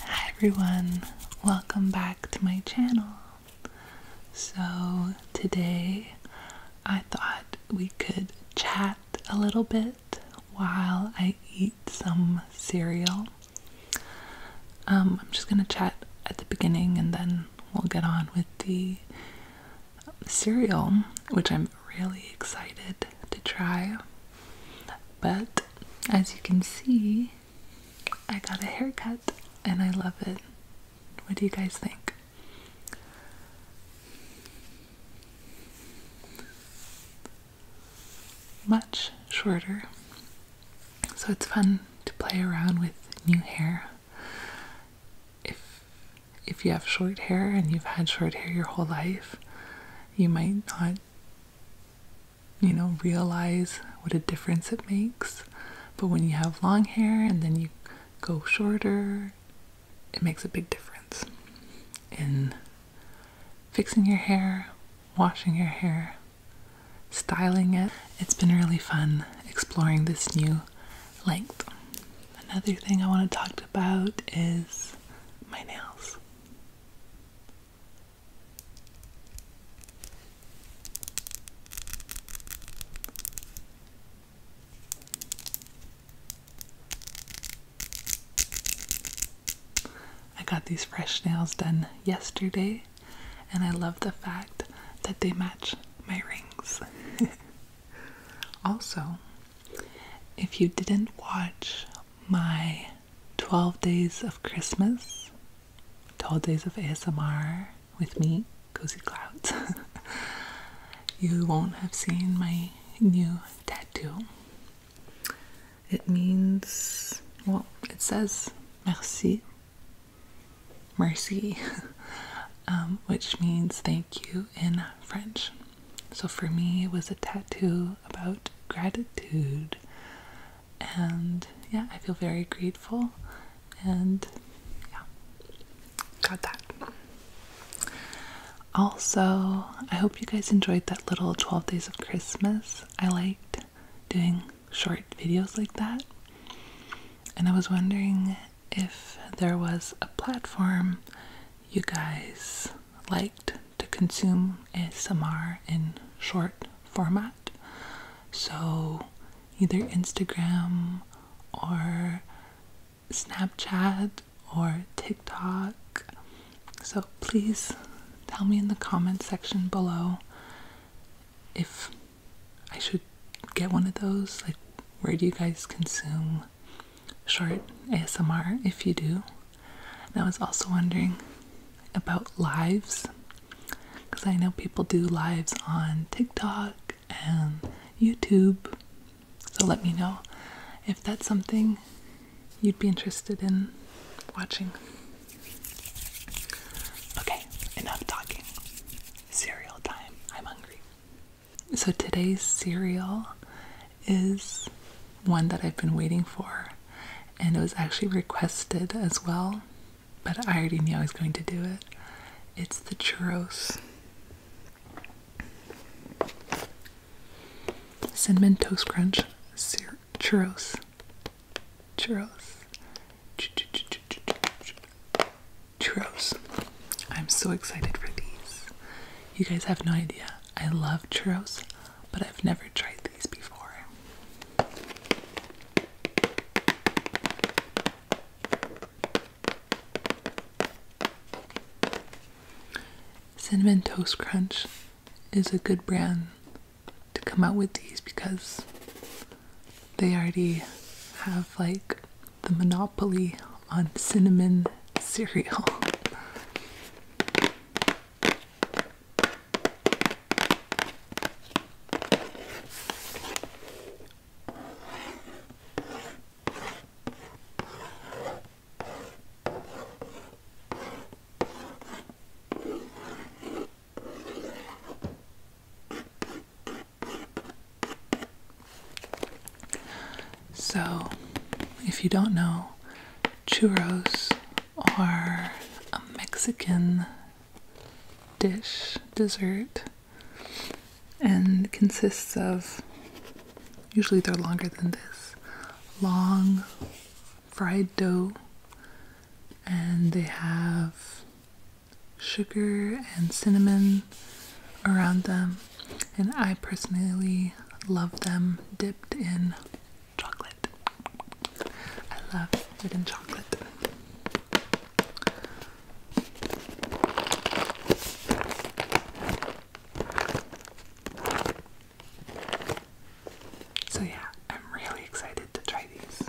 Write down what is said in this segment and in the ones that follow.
Hi everyone, welcome back to my channel. So, today I thought we could chat a little bit while I eat some cereal. Um, I'm just gonna chat at the beginning and then we'll get on with the cereal, which I'm really excited to try. But as you can see, I got a haircut and I love it. What do you guys think? Much shorter. So it's fun to play around with new hair. If if you have short hair and you've had short hair your whole life, you might not you know, realize what a difference it makes. But when you have long hair and then you go shorter, it makes a big difference in fixing your hair, washing your hair, styling it. It's been really fun exploring this new length. Another thing I want to talk about is my nails. I got these fresh nails done yesterday, and I love the fact that they match my rings. also, if you didn't watch my 12 Days of Christmas, 12 Days of ASMR with me, Cozy Clouds. you won't have seen my new tattoo. It means, well, it says merci, mercy, um, which means thank you in French. So for me, it was a tattoo about gratitude. And yeah, I feel very grateful. And yeah, got that. Also, I hope you guys enjoyed that little 12 Days of Christmas. I liked doing short videos like that. And I was wondering if there was a platform you guys liked to consume ASMR in short format. So either Instagram or Snapchat or TikTok. So please tell me in the comments section below if I should get one of those. Like, where do you guys consume short ASMR if you do? And I was also wondering about lives because I know people do lives on TikTok and YouTube. So let me know if that's something you'd be interested in watching. Okay, enough talking. Cereal time. I'm hungry. So today's cereal is one that I've been waiting for, and it was actually requested as well, but I already knew I was going to do it. It's the churros. Cinnamon Toast Crunch churros. Churros. Churros. I'm so excited for these. You guys have no idea. I love churros, but I've never tried these before. Cinnamon Toast Crunch is a good brand to come out with these because they already have like the monopoly on cinnamon cereal. So, if you don't know, churros are a Mexican dish, dessert, and consists of usually they're longer than this long fried dough, and they have sugar and cinnamon around them. And I personally love them dipped in chocolate. I love eating chocolate. So, yeah, I'm really excited to try these.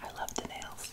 I love the nails.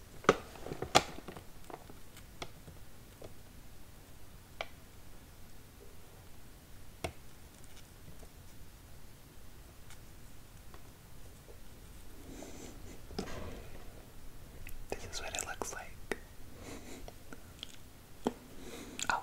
This is what it looks like. Oh.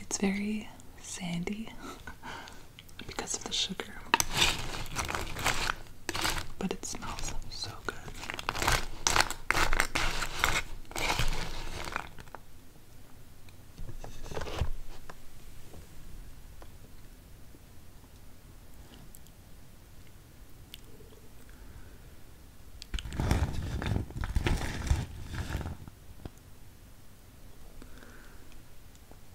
It's very sandy. because of the sugar. But it smells so good.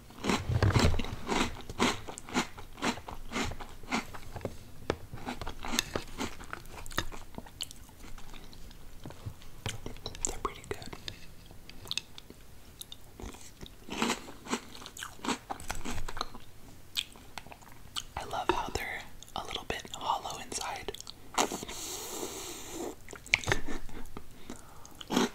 They're pretty good. I love how they're a little bit hollow inside.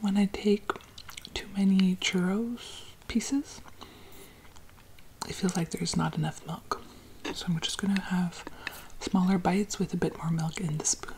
When I take too many churros pieces, it feels like there's not enough milk. So I'm just gonna have smaller bites with a bit more milk in the spoon.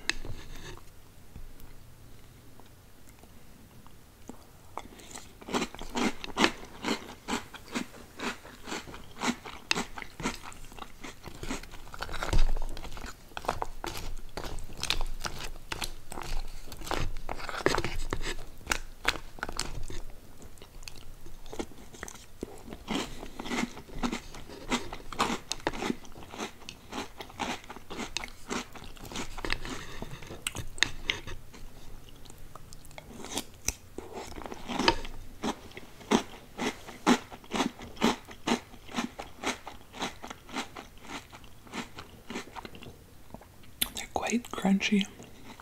They're quite crunchy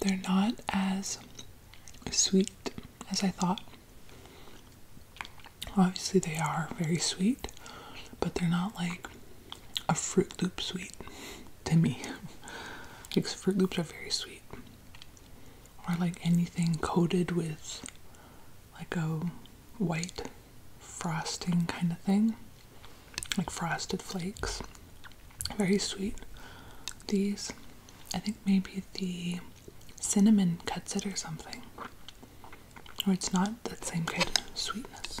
They're not as sweet as I thought. Obviously, they are very sweet, but they're not like a Fruit Loop sweet to me. like, Fruit Loops are very sweet. Or like anything coated with like a white frosting kind of thing, like frosted flakes. Very sweet. These I think maybe the cinnamon cuts it or something. Or it's not that same kind of sweetness.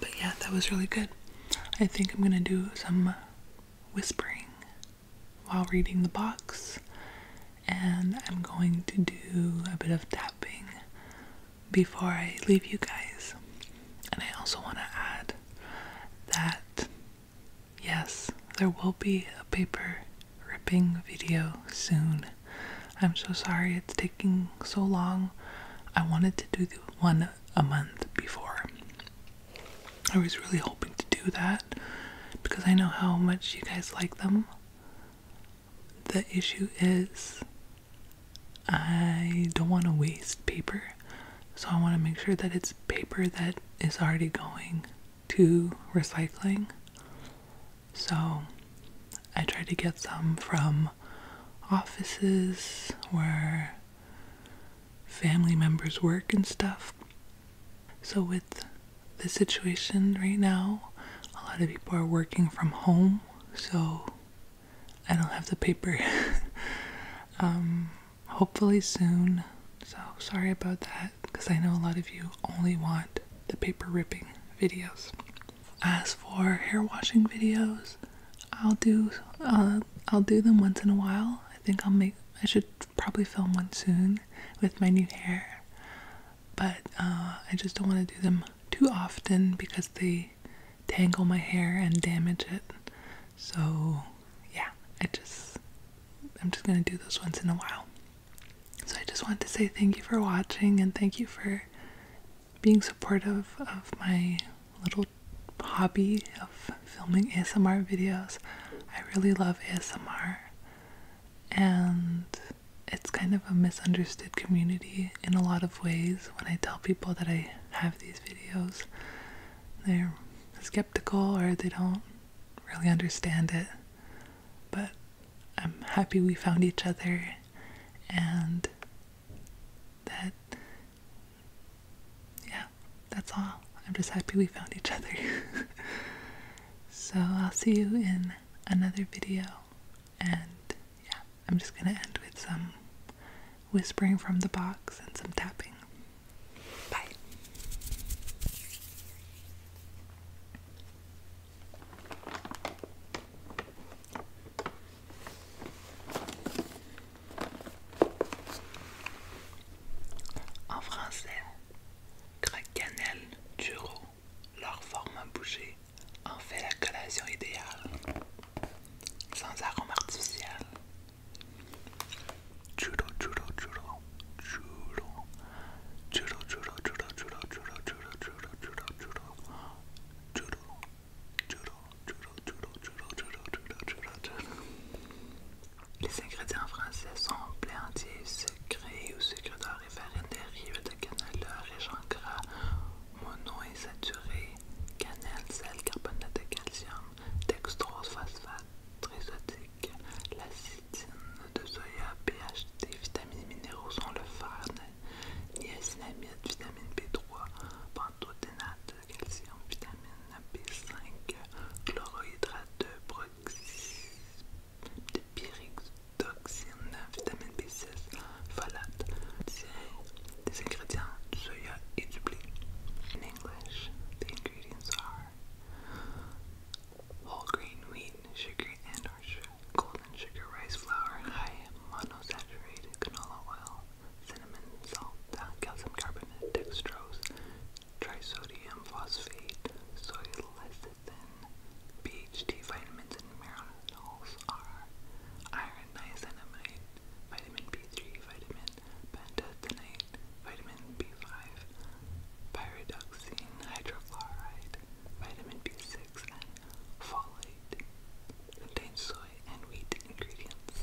But yeah, that was really good. I think I'm gonna do some uh, whispering while reading the box, and I'm going to do a bit of tapping before I leave you guys. And I also want to add that yes, there will be a paper ripping video soon. I'm so sorry it's taking so long. I wanted to do one a month before. I was really hoping to do that because I know how much you guys like them. The issue is I don't want to waste paper, so I want to make sure that it's paper that is already going to recycling. So I try to get some from offices where family members work and stuff. So, with the situation right now, a lot of people are working from home, so I don't have the paper. Um, hopefully soon. So sorry about that because I know a lot of you only want the paper ripping videos. As for hair washing videos, I'll do uh, I'll do them once in a while. I think I'll make I should probably film one soon with my new hair, but uh, I just don't want to do them too often because they tangle my hair and damage it. So, yeah, I just I'm just going to do those once in a while. So I just want to say thank you for watching and thank you for being supportive of my little hobby of filming ASMR videos. I really love ASMR and it's kind of a misunderstood community in a lot of ways when I tell people that I have these videos. They're skeptical or they don't really understand it. But I'm happy we found each other and that, yeah, that's all. I'm just happy we found each other. so I'll see you in another video and yeah, I'm just going to end with some whispering from the box and some tapping. Bye. En français, cannelle, churro, leur forme à en fait la collation idéale. Sans arôme artificiel. Les ingrédients français sont blé entier, sucré ou sucre d'or et farine rives, de canaleur et chancras, mono et saturé cannelle, sel, carbonate de calcium, dextrose, phosphate, trisotique, l'acétine de soya, pH, vitamines minéraux sont le fer, niacinamide, vitamine B3, pantothénate, calcium, vitamine B5, chlorohydrate de de pyridoxine, vitamine B6, folate, These ingredients soya et In English, the ingredients are whole green wheat, sugar and or golden sugar, rice flour, high monosaturated canola oil, cinnamon, salt, calcium carbonate, dextrose, trisodium phosphate, soy lecithin, BHT vitamins and minerals are iron, niacinamide, vitamin B3, vitamin pantothenate, vitamin B5, pyridoxine, hydrochloride, vitamin B6, and folate. Contains soy and wheat ingredients.